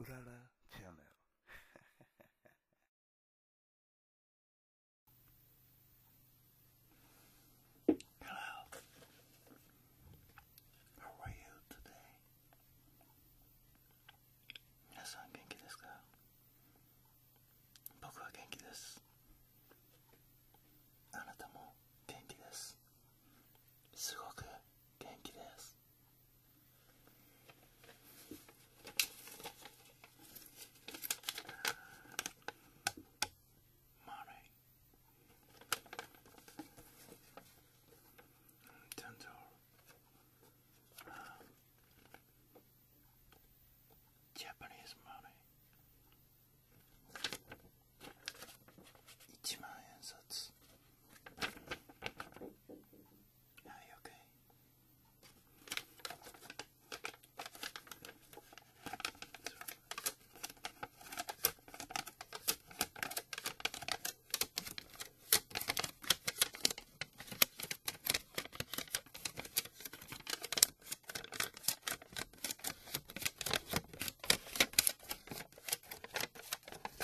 うららチャンネル。Hello. How are you today? 皆さん元気ですか僕は元気です。あなたも元気です。すごく元気です。Money dental uh, Japanese money 一万円札 are you okay?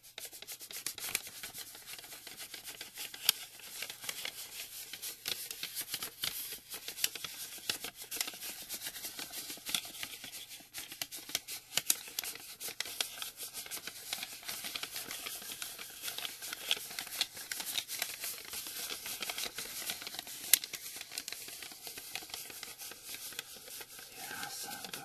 Yeah, so good.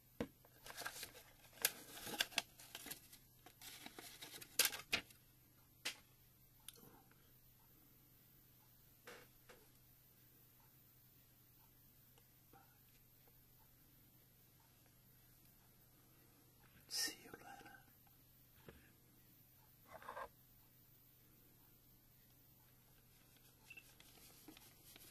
See you later.